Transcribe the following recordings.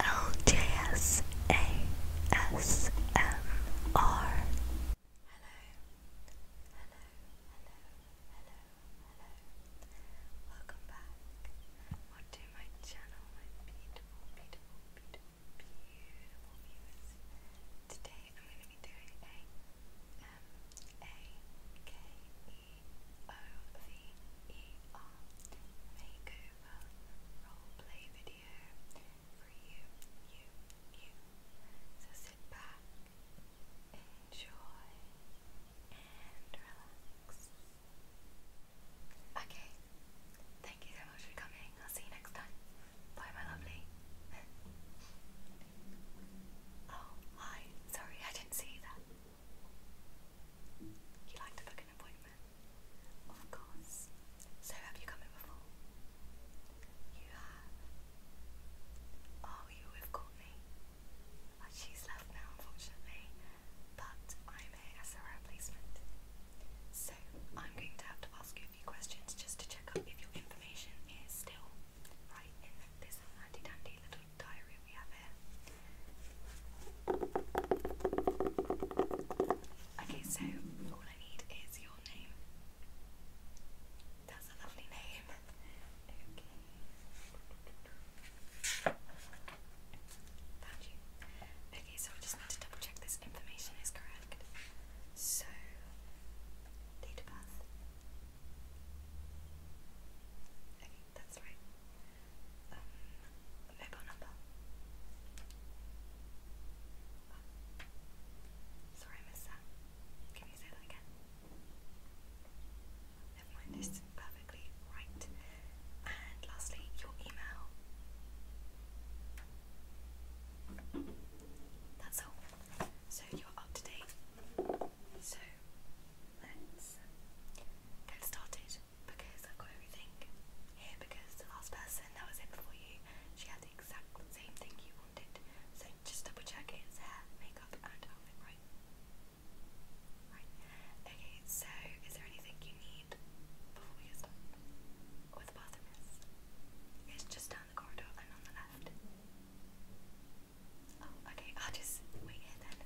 L J S A S M R. Hello, hello, hello, hello, hello. Welcome back onto my channel, my beautiful, beautiful, beautiful, beautiful viewers. Today I'm going to be doing a M um, A K E O V E um, makeover roleplay video for you. So sit back, enjoy, and relax. Okay, thank you so much for coming. I'll see you next time. Bye, my lovely. oh, hi. Sorry, I didn't see that. You like to book an appointment? of course. So have you come in before? You have. Oh, you were with Courtney. Oh, she's left now, unfortunately. But I'm here as a replacement. So I'm going to have to ask you a few questions just to check up if your information is still right in this handy dandy little diary we have Okay, so all I need is your name. That's a lovely name. Okay. so I just need to double check this information is correct. So, date Okay, that's right um, mobile number. Sorry, I missed that. Can you say that again? Never mind, this is perfectly right. And lastly, your email. That's all. So you're up to date. So let's get started because i got everything here because the last person that was in before you, she had the exact same thing you wanted. So just double check it, hair, makeup and outfit, right? Right. Okay, so is there anything you need before we get started? the bathroom is? It's just down the corridor and on the left. Oh, okay, I'll just wait here then.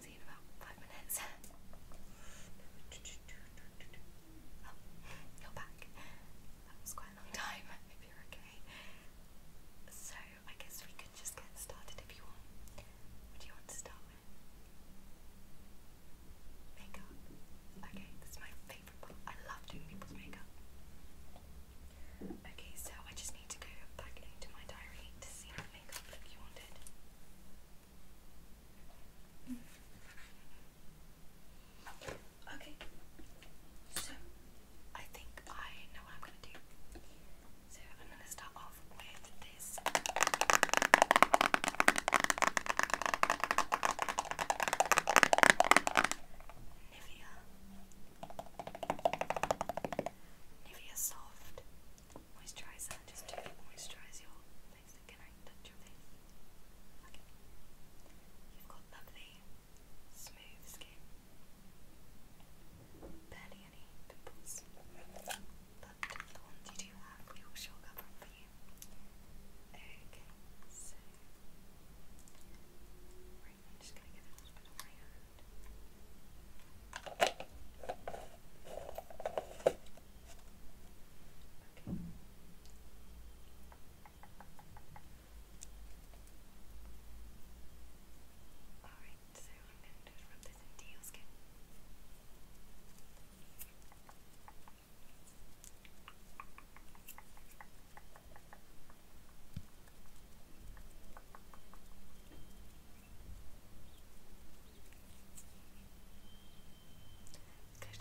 See you in about five minutes. Oh, you're back. That was quite a long time, if you're okay. So, I guess we could just get started if you want. What do you want to start with? Makeup. Okay, this my favourite part. I love doing people's makeup. Okay, so I just need to go back into my diary to see what makeup look you wanted. Okay, so I think I know what I'm gonna do. So I'm gonna start off with this. Nivea. Nivea Soft moisturizer, just to moisturize your face. Can I touch your face? You've got lovely, smooth skin. Barely any pimples. But the you have, we sure cover up Okay, so. Right, I'm just going to give it my hand. Okay. Alright, so I'm going to rub this into your skin. Close your for me.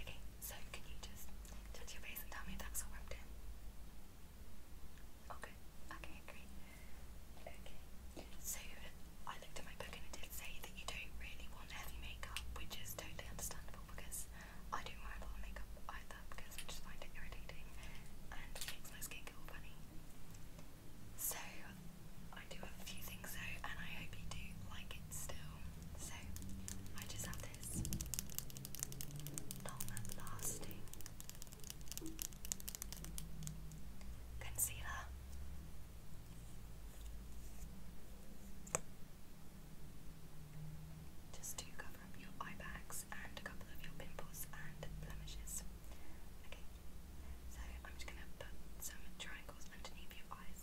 Okay, so can you just touch your face and tell me that's all rubbed in? Okay, okay, great. So I looked at my book and it did say that you don't really want heavy makeup, which is totally understandable because I don't wear a lot of makeup either because I just find it irritating and makes my skin go all funny. So I do have a few things though and I hope you do like it still. So I just have this long lasting Concealer. Just to cover up your eye bags and a couple of your pimples and blemishes. Okay, so I'm just gonna put some triangles underneath your eyes.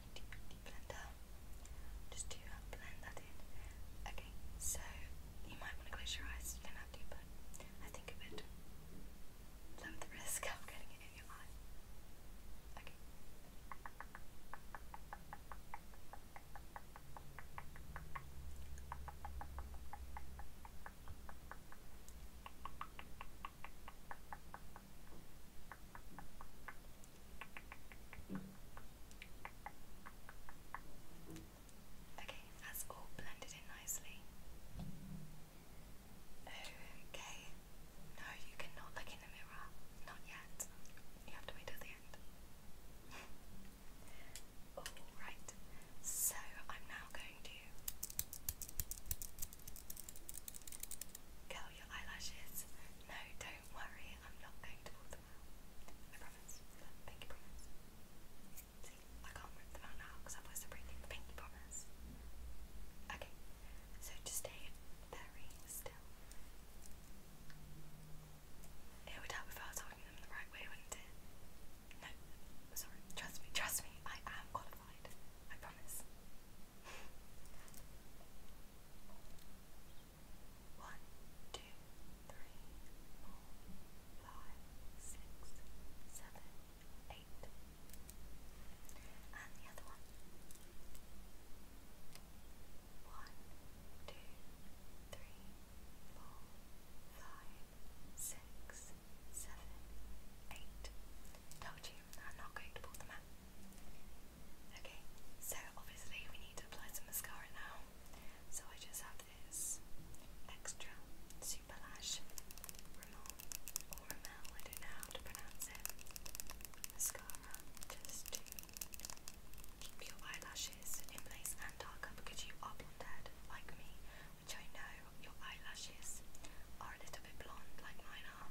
blender. Just do blend that in. Okay, so you might want to close your eyes, you don't have to, I think it would limit the risk of getting it in your eye. Okay, Okay, that's all blended in nicely. Okay. No, you cannot look in the mirror. Not yet. You have to wait till the end. Alright, so I'm now going to curl your eyelashes. No, don't don't worry, I'm not going to pull them out. I promise. Pinky promise. I can't rip them out now because otherwise they're breathing. Pinky promise. Okay, so just stay very still. It would help if I was holding them the right way, wouldn't it? No, sorry. Trust me, trust me. I am qualified. I promise. One, two, three, four, five, six, seven, eight. And the other one. One, two, three, four, five, six, seven, eight. Told you, I'm not going to pull them out. Okay, so obviously we need to apply some mascara now. So I just have this extra super lash Rimmel or Rimmel, I don't know how to pronounce it. Mascara just to keep your eyelashes in place and darker because you are blonde like me, which I know your eyelashes are a little bit blonde like mine are.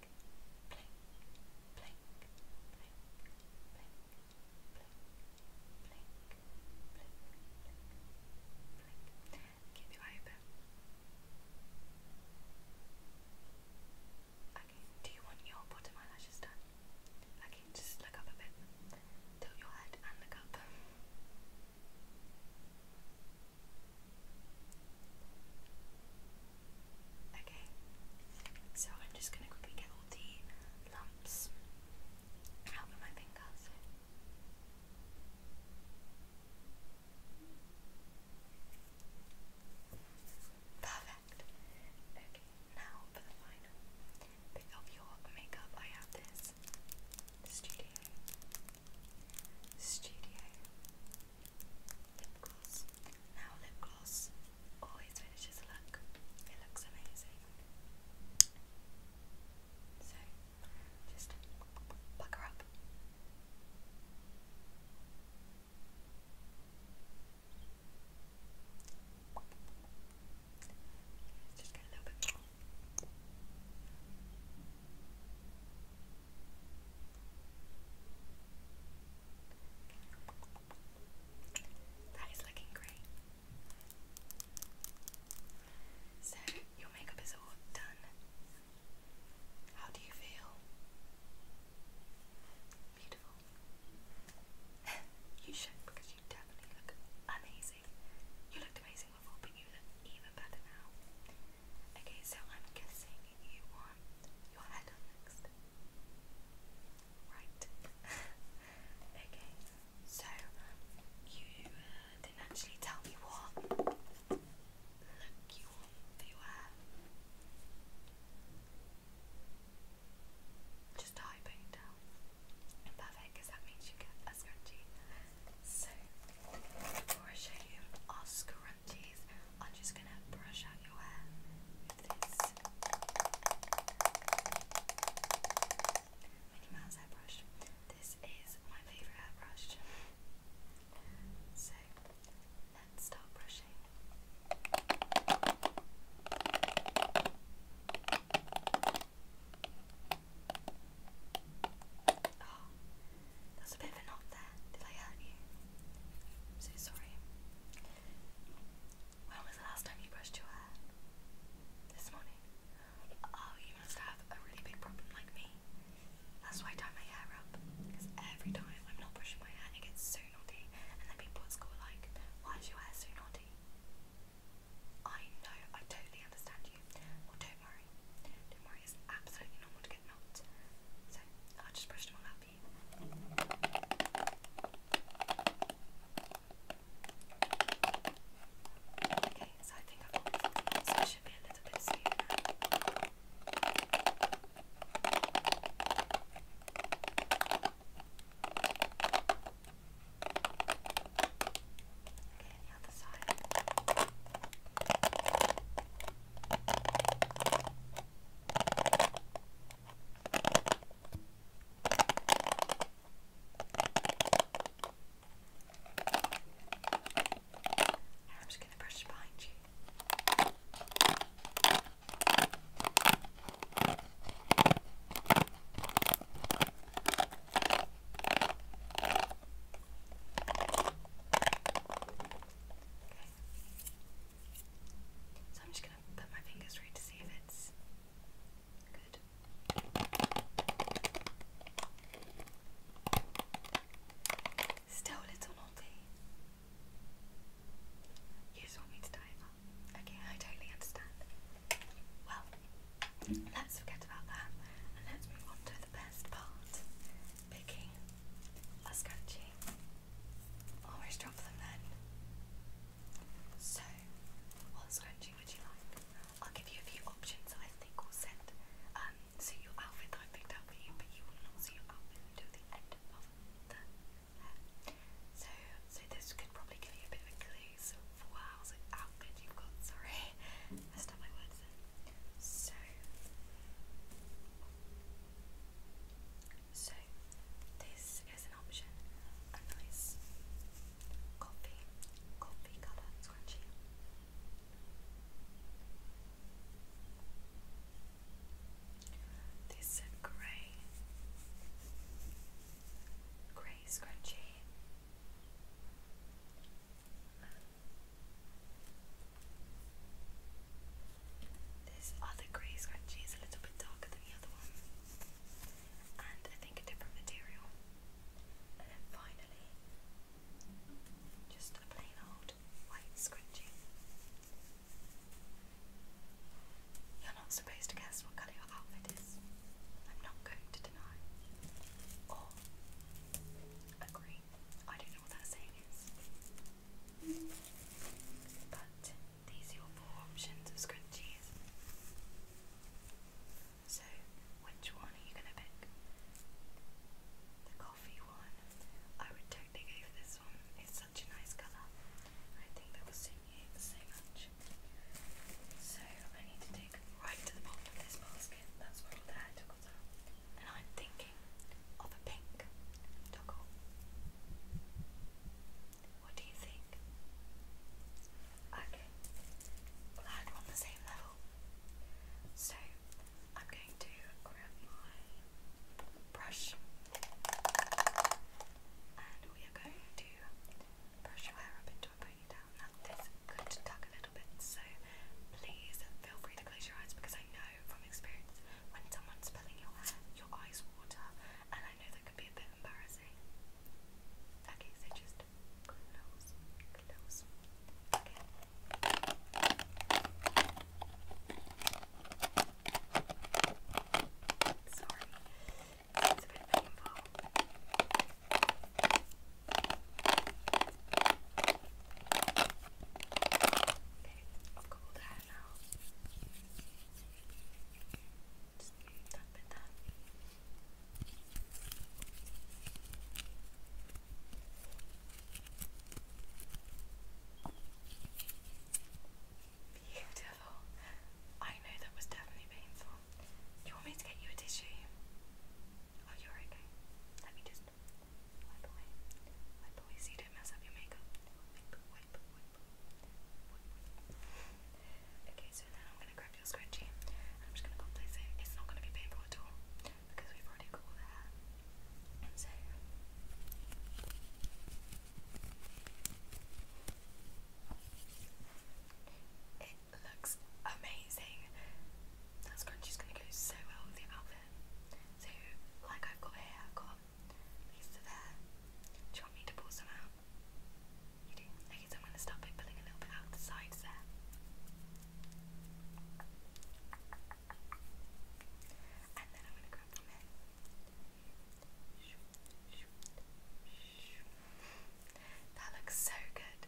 blink. Keep your eye open. Okay, do you want your bottom eyelashes done? Okay, just look up a bit. Tilt your head and look up. Okay, so I'm just going to quickly get all the lumps out with my fingers. Perfect. Okay, now for the final bit of your makeup, I have this studio, studio, lip gloss. Now lip gloss oh, always finishes a look. It looks amazing. So just pucker up. just get a little bit more. That is looking great. So, your makeup is all done. How do you feel? Beautiful. you should, because you definitely look amazing. You looked amazing before, but you look even better now. Okay, so I'm guessing you want your hair Right. okay. So you uh, didn't actually tell me what look you want for your hair. Just a high ponytail. Perfect, that makes you get a scrunchie. So before I show you our scrunchies, I'm just gonna brush out your hair this. is my favourite hairbrush. So let's start brushing. Oh, that's a bit of a knock there. Did I hurt you? i sorry. When was the last time you brushed your hair? This morning. Oh, you must have a really big problem like me. That's why I tie my hair up. Because every time I'm not brushing my hair, it gets so naughty. And then people at school are like, why is your hair so naughty? I know, I totally understand you. Well, don't worry. Don't worry, it's absolutely normal to get knocked. So, i just brush them all up happy. Okay, so I think I've got it, so it should be a little bit smoother. Okay, the other side. Okay, I'm just going to brush behind you. Okay. So I'm just gonna put my fingers through to see if it's good. Still a little naughty. You just want me to dive up. I totally understand. Well, let's forget about that and let's move on to the best part picking Ascacci. Always drop them then. So, what scrunchie would you like? I'll give you a few options I think will send. Um, so your outfit that I picked out for you, but you will not see your outfit until the end of the So, so this could probably give you a bit of a clue. So, for wow, outfit you've got. Sorry, messed up my words. Then. So. So, this is an option a nice coffee, coffee colour scrunchie. This grey, grey scrunchie. This other grey scrunchie is a little bit darker than the other one, and I think a different material. And then finally, just a plain old white scrunchie. You're not supposed to guess what colour your outfit is. I'm not going to deny or agree. I don't know what that saying is. But these are your four options of scrunchies. So, which one are you going to pick? The coffee one. I would totally go for this one. It's such a nice colour. I think that will suit you so much. So, I need to dig right to the bottom of this basket. That's where all the hair toggles are. And I'm thinking of a pink toggle. What do you think? Okay, that on the same level. So I'm going to grab my brush and we are going to brush your hair up into a ponytail. Now this could tuck a little bit, so please feel free to close your eyes because I know from experience when someone's pulling your hair, your eyes water, and I know that could be a bit embarrassing. Okay, so just close, close. Okay. Sorry, it's a bit painful. Okay, I've got that Beautiful. I know that was definitely painful. Do you want me to get you a tissue? Oh, you okay. Let me just wipe away. Wipe away so you don't mess up your makeup. Okay, so now I'm gonna grab your scrunchie I'm just gonna go place it. It's not gonna be painful at all because we've already got all So it looks amazing. That scrunchie's gonna go so well with the outfit. So like I've here, I've do you want me to pull some out? Okay, so I'm going to start by pulling a little bit out the sides there. And then I'm going to grab from here. That looks so good.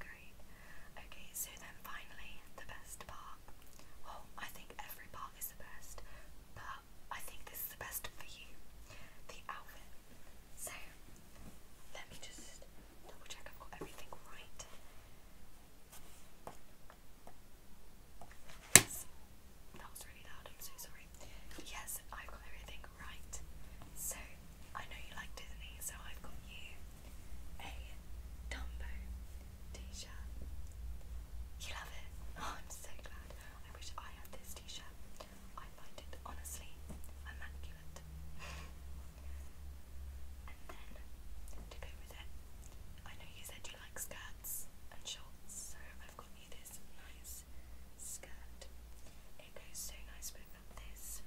Great. Okay, so then finally, the best part. Well, I think every part is the best, but I think this is the best for you. The outfit. So let me just double check I've got everything right. Yes. That was really loud, I'm so sorry. Yes, I've got everything right. So I know you like Disney, so I've got you a Dumbo t-shirt. You love it? Oh, I'm so glad. I wish I had this t-shirt. I find it honestly immaculate. and then to go with it, I know you said you like skirts and shorts, so I've got you this nice skirt. It goes so nice with this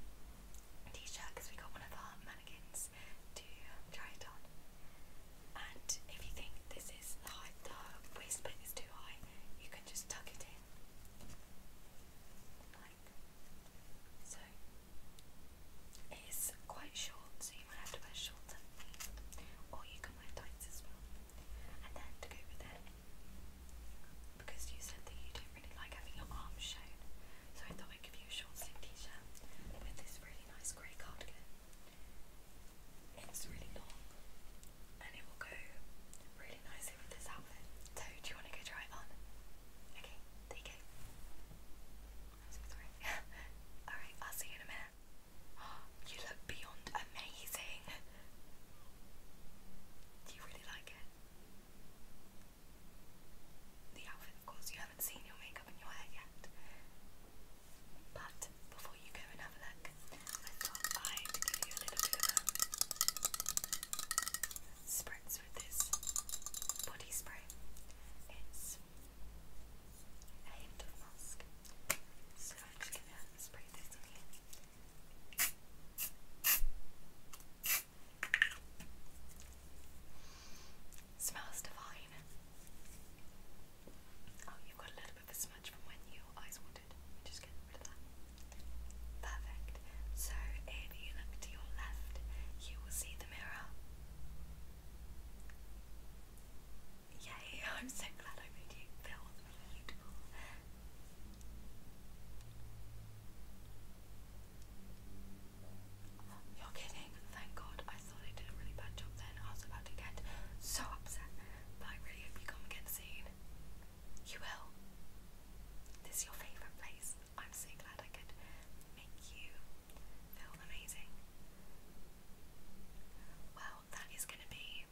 t-shirt because we got one of our mannequins to try it on and if you think this is the, high, the waist is too high, you can just tuck it in, like so. It is quite short, so you might have to wear shorts or you can wear tights as well. And then to go with it, because you said that you don't really like having your arms shown, so I thought I'd give you a short sleeve t-shirt with this really nice grey cardigan. It's really long and it will go really nicely with this outfit. So do you want to go try it on? Okay, there you go. I'm so sorry. Alright, I'll see you in a minute. you look beyond amazing. Do you really like it? The outfit, of course, you haven't seen your me makeup But before you go and have a look, I thought I'd give you a little bit of a um, spritz with this body spray. It's a hint of musk. So I'm just gonna spray this on you. Smells divine. Oh, you've got a little bit of a smudge from when your eyes watered. Just get rid of that. Perfect. So, if you look to your left, you will see the mirror. Yay, I'm so glad I made you feel beautiful. You're kidding. Thank God. I thought I did a really bad job then. I was about to get so upset. But I really hope you come and get You will. This is your favourite place. I'm so glad I could make you feel amazing. Well, that is going to be.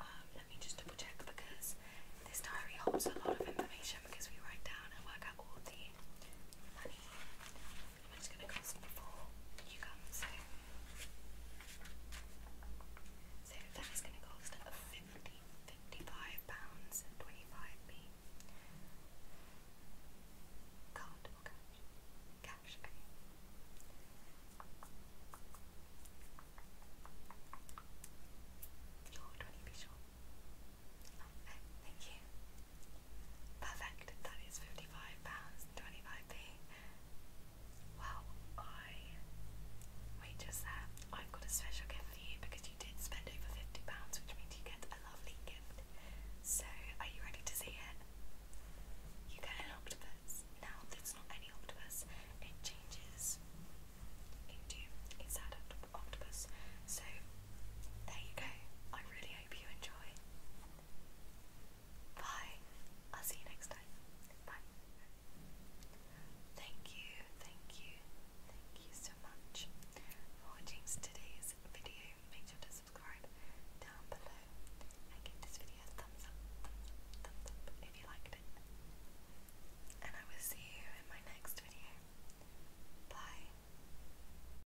Um, let me just double check because this diary holds a lot of information because we write down and work out all the money and you so that is going to cost 50 £55 and 25p card or cash? cash, you're 20p short Thank you. Perfect. That is fifty-five pounds twenty-five p. Well, I wait just there. I've got a special gift for you because you did spend over fifty pounds, which means you get a lovely gift. So, are you ready to see it? You get an octopus. Now, it's not any octopus. It changes into a sad octopus. So, there you go. I really hope you enjoy. Bye. I'll see you next time. Bye. Thank you, thank you, thank you so much for watching today's video. Make sure to subscribe down below and give this video a thumbs up, if you liked it. And I will see you in my next video. Bye.